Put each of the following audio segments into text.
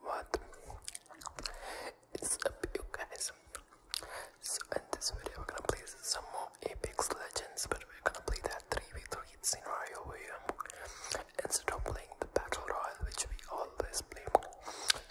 What? It's up you guys. So in this video we're gonna play some more Apex Legends but we're gonna play that 3v3 scenario here instead of playing the battle royale which we always play.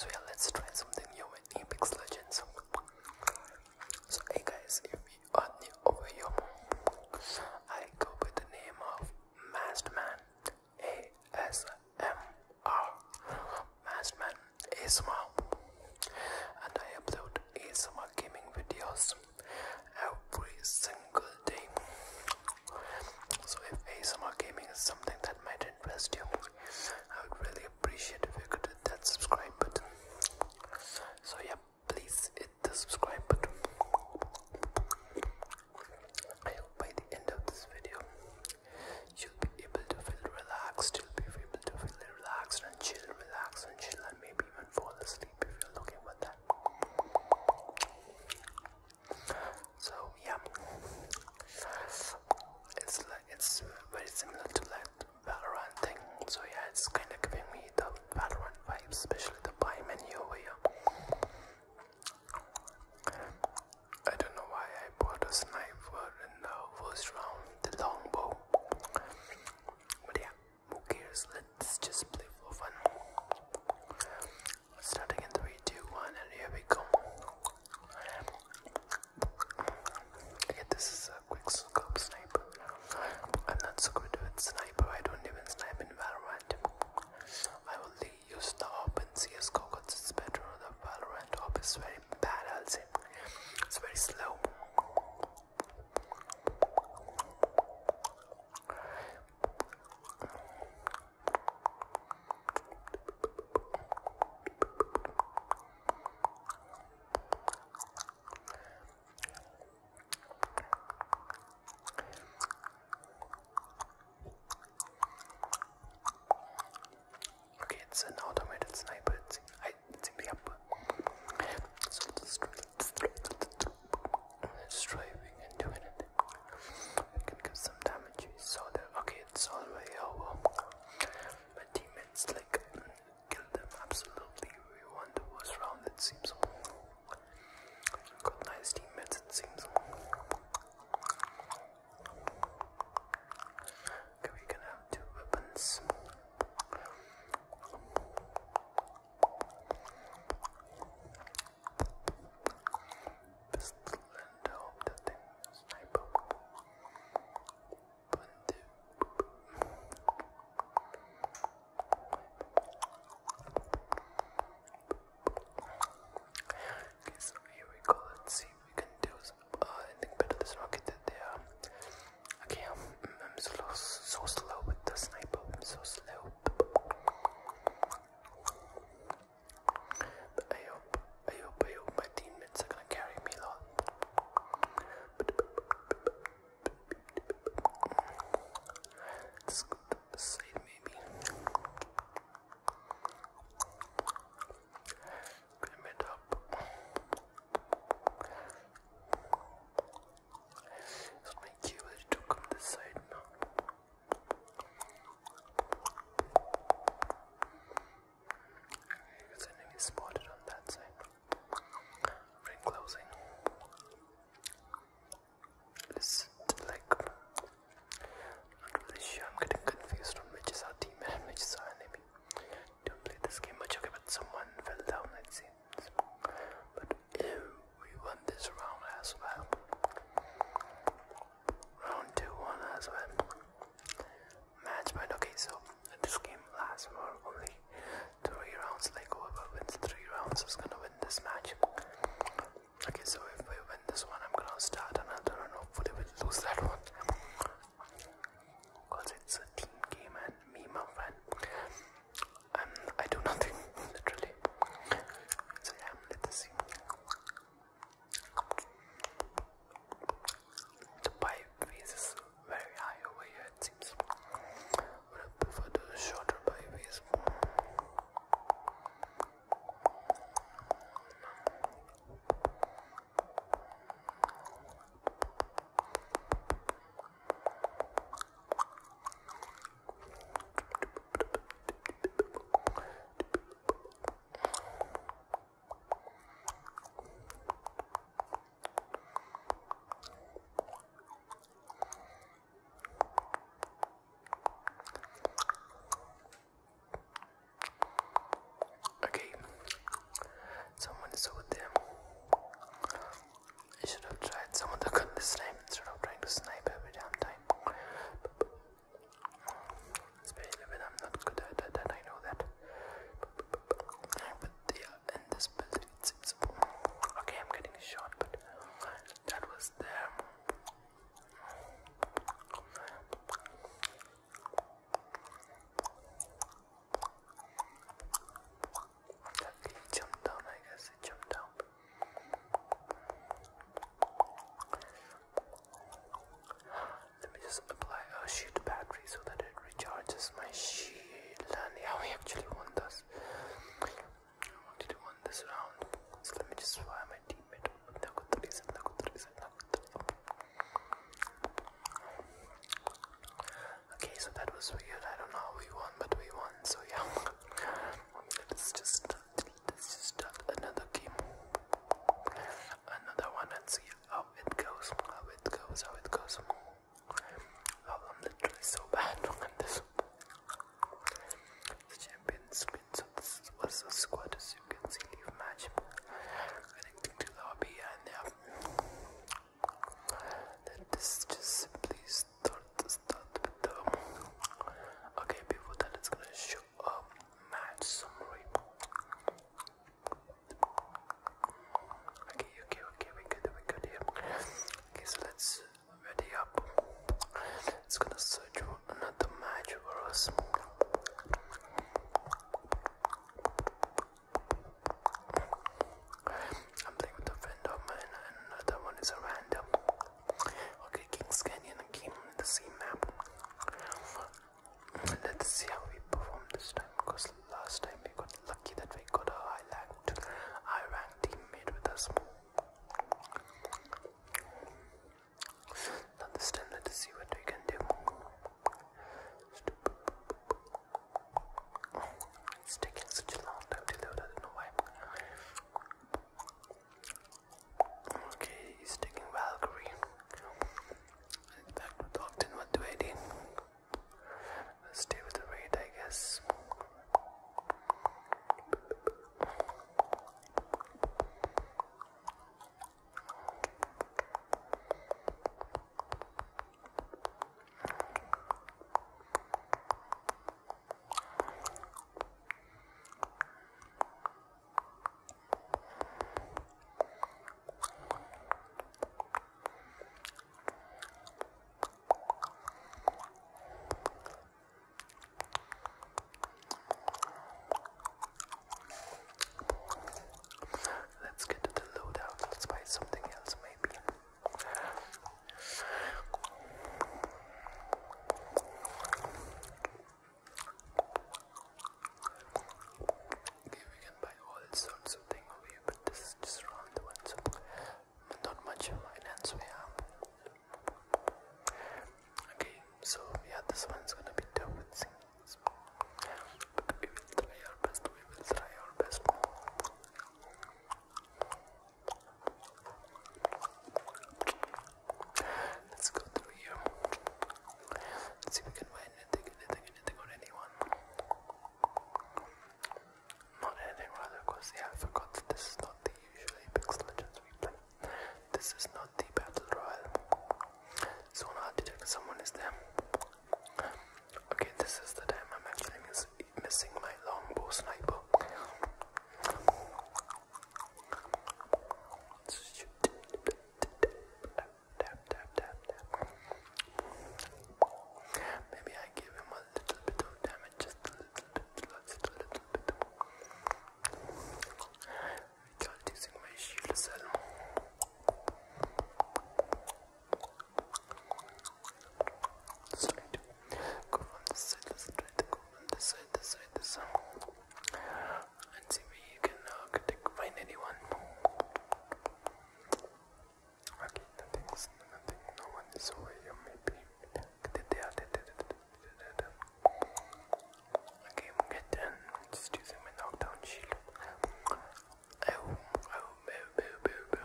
So yeah let's try something new in Apex Legends. So hey guys if you are new over here I go by the name of Masked Man ASMR Matchman ASMR and I upload ASMR gaming videos every single day. So if ASMR gaming is something that might interest you, I would really appreciate if you could hit that subscribe button. So yeah, please hit the subscribe button. I hope by the end of this video you'll be able to feel relaxed, you'll be able to feel relaxed and chill, relax and chill and maybe even fall asleep if you're looking for that. So yeah, it's it's very similar to like Valorant thing. So yeah, it's kind of giving me the Valorant vibes, especially the buy menu over here. I don't know why I bought a sniper in the first round, the longbow. But yeah, who cares? Let's just play for fun. Starting in 3, and here we go. Okay, this is a quick scope sniper. I'm not so good with sniper, I don't even snipe in Valorant. I will leave Use the open CSGO because it's better the Valorant op is very bad I'll say it's very slow Okay, it's an automated sniper. It's it's in up. So and doing it. It can give some damage. So the okay, it's all the over. Oh, My teammates like kill them absolutely. We won the first round it seems. Got nice teammates, it seems. Okay, we can have two weapons. Pistol and hope that thing sniper. One, two so here we go. Let's see if we can do uh, better. This rocket that Okay, I'm, so, slow with the sniper. so slow. I hope, I hope, I hope my teammates are gonna carry me side maybe. Climb it up. So my cue to come this side now. Because enemy spotted on that side. Ring closing. Listen, like, I'm getting confused on which is our team which is our enemy. Don't this game But someone fell down, it seems. But we won this round as well. Round 2 won as well. Match point, okay? So this game lasts for only 3 rounds. Like, whoever wins 3 rounds is gonna win this match. Okay, so if we win this one, I'm gonna start another one. hopefully we'll lose that one. Because it's a team game and me, my friend. And um, I do nothing, literally. So yeah, let's see. The pipe is very high over here, it seems but I prefer the shorter byways. Okay, someone saw them. I should have tried some of the gun this time instead of trying to snipe every damn time. Especially when I'm not good at that, I know that. But they are in this building it, it's, okay. I'm getting shot, but that was there. That jumped down, I guess it jumped down. Let me just apply a shield battery so that it recharges my shield. And how we actually won this only do one this round. So let me just fire my teammate. Okay, so that was weird. I don't know how we won, but we won. So yeah, let's just let's just start another game, another one, and see how it goes. How it goes. How it goes. Oh, I'm literally so bad on this. The champions win, so this was a squad as you can match connecting to lobby and then this just simply start start with the okay before that it's gonna show a match summary okay okay okay we good we good here Okay, so let's uh, ready up. It's gonna search another match for us. I'm playing with a friend of mine, and another one is a random. Okay, Kings Canyon came in the same map. Let's see how we perform this time because last time we got Lucky that we got a high ranked, high ranked teammate with us. Now this time, let see what we can do. It's taking such a long time to load. I don't know why. Okay, he's taking Valkyrie. In fact, Docton, what do I do? Let's stay with the red, I guess. Let's get to the loadout. Let's buy something else, maybe. Giving you all sorts of things over here, but this is just around one, not much finance we have. Okay, so yeah, this one's gonna be tough with but we will try our best, we will try our best. Let's go through here. Let's see if we can find anything, anything, anything, or anyone. Not anything because I forgot this is not the usual Apex Legends replay. This is not the Battle Royale. So now to check someone is there. Okay, this is the time I'm actually missing my longbow sniper tap, tap, tap, tap. Maybe I give him a little bit of damage, just a little bit, just a little bit. Without using my shield cell. Sorry to go from this side, let's try to go from this side, this side, this side. And see if you can uh, find anyone. Okay, nothing's nothing, no one is over here, maybe. Okay, I'm getting just using my knockdown shield. Oh, oh, boo, boo, boo,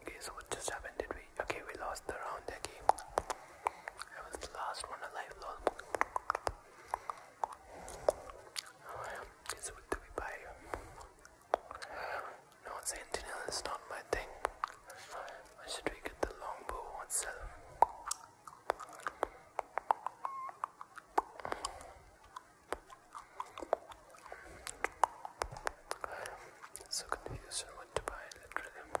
Okay, so what just happened? Did we? Okay, we lost the round. Okay, I was the last one alive. Lol. It's what do we buy? No, sentinel is not my thing. Why should we get the longbow itself? So confused on what to buy, literally.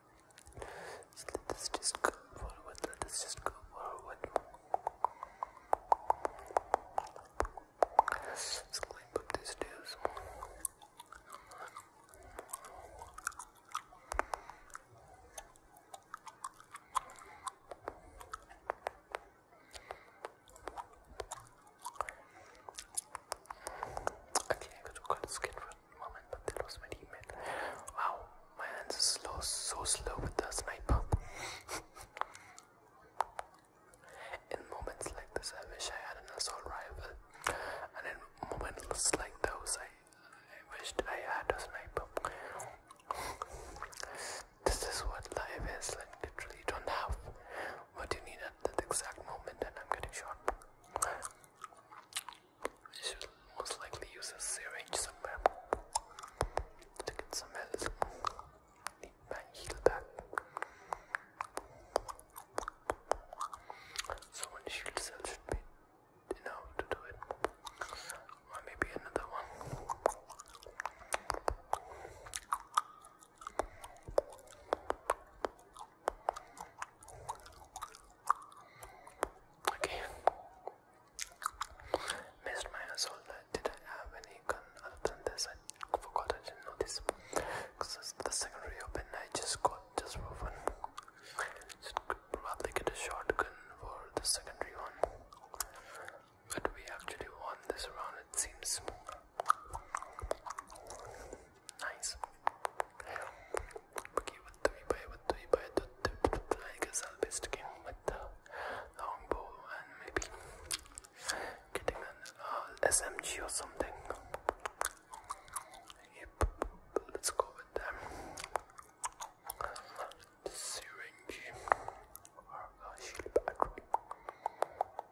let us just go forward, let us just go forward. Let's climb up these stairs. Actually, I could got skin for a moment, but that was my teammate. Wow, my hands are slow, so slow with the sniper. in moments like this, I wish I had an assault rifle, and in moments like those, I, I wished I had a sniper. This is what life is like, literally, you don't have what you need at that exact moment, and I'm getting shot. I should most likely use a syringe somewhere to get some help. Need my heal back. So one shield should be enough to do it. Or maybe another one. Okay. Missed my assault. Did I have any gun other than this? I forgot I didn't know this. Because the secondary open I just got just for probably get a shotgun for the secondary one. But we actually won this round it seems. Nice. we buy? do we buy? Do, do, do, I guess I'll be sticking with the longbow and maybe getting an uh, SMG or something. Yep, let's go with them. Syringe or a uh, shield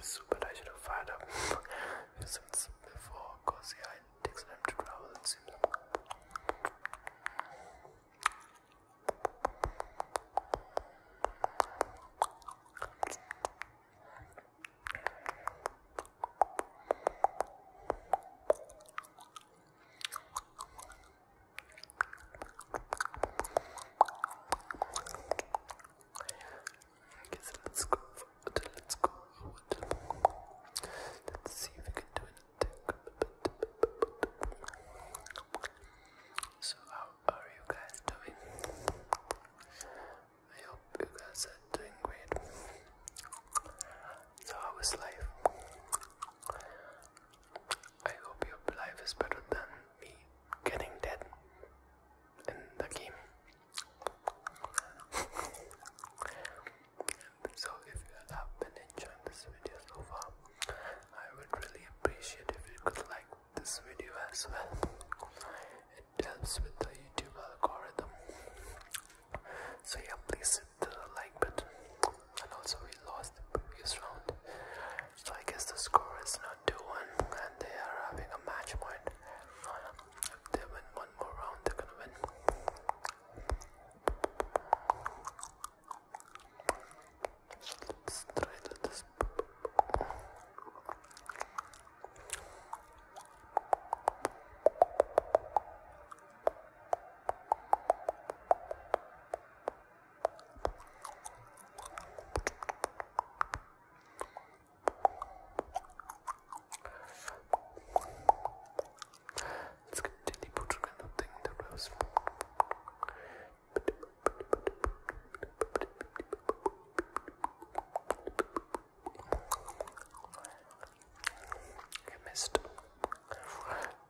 Super I should have fired up Simpsons before, cause yeah, it takes time to travel in Simpsons. I let's go Let's go Let's see if we can do anything. So how are you guys doing? I hope you guys are doing great. So how is life? I hope your life is better than me getting dead in the game so if you have been enjoying this video so far i would really appreciate if you could like this video as well it helps with the youtube algorithm so yeah please hit the like button and also we lost the previous round so i guess the score is down 2-1 and they are having a match point. they win one more round, they're gonna win. Let's try Let's continue putting nothing in the rose. I missed.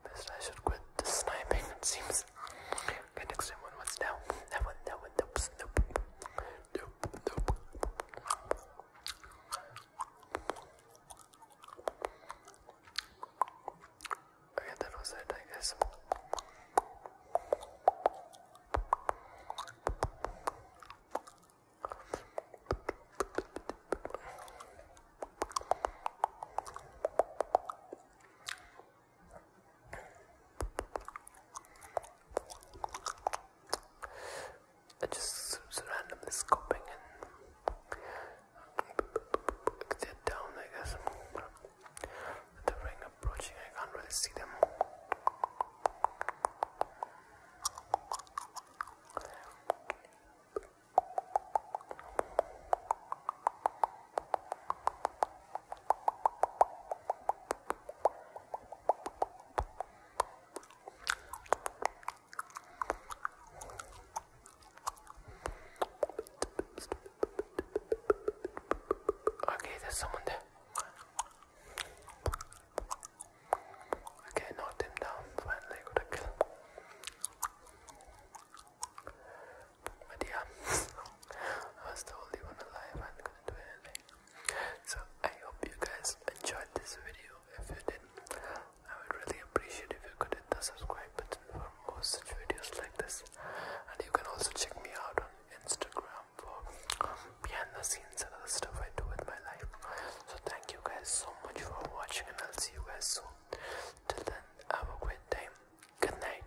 Missed. I should quit the sniping. It seems. Okay, next one was down. That one. That one. Nope. Nope. Nope, nope. Okay, that was it, I guess. I just randomly scoping and they down, I guess. The ring approaching, I can't really see them. Okay, there's someone there. Okay, knocked him down. Finally, got a kill. But I was the only one alive and couldn't do anything. So I hope you guys enjoyed this video. If you did, I would really appreciate if you could hit the subscribe button for more such videos like this. And you can also check me out on Instagram for behind the scenes and other stuff I do with my life. So thank you guys so much for watching and I'll see you guys soon. Till then, have a great time. Good night.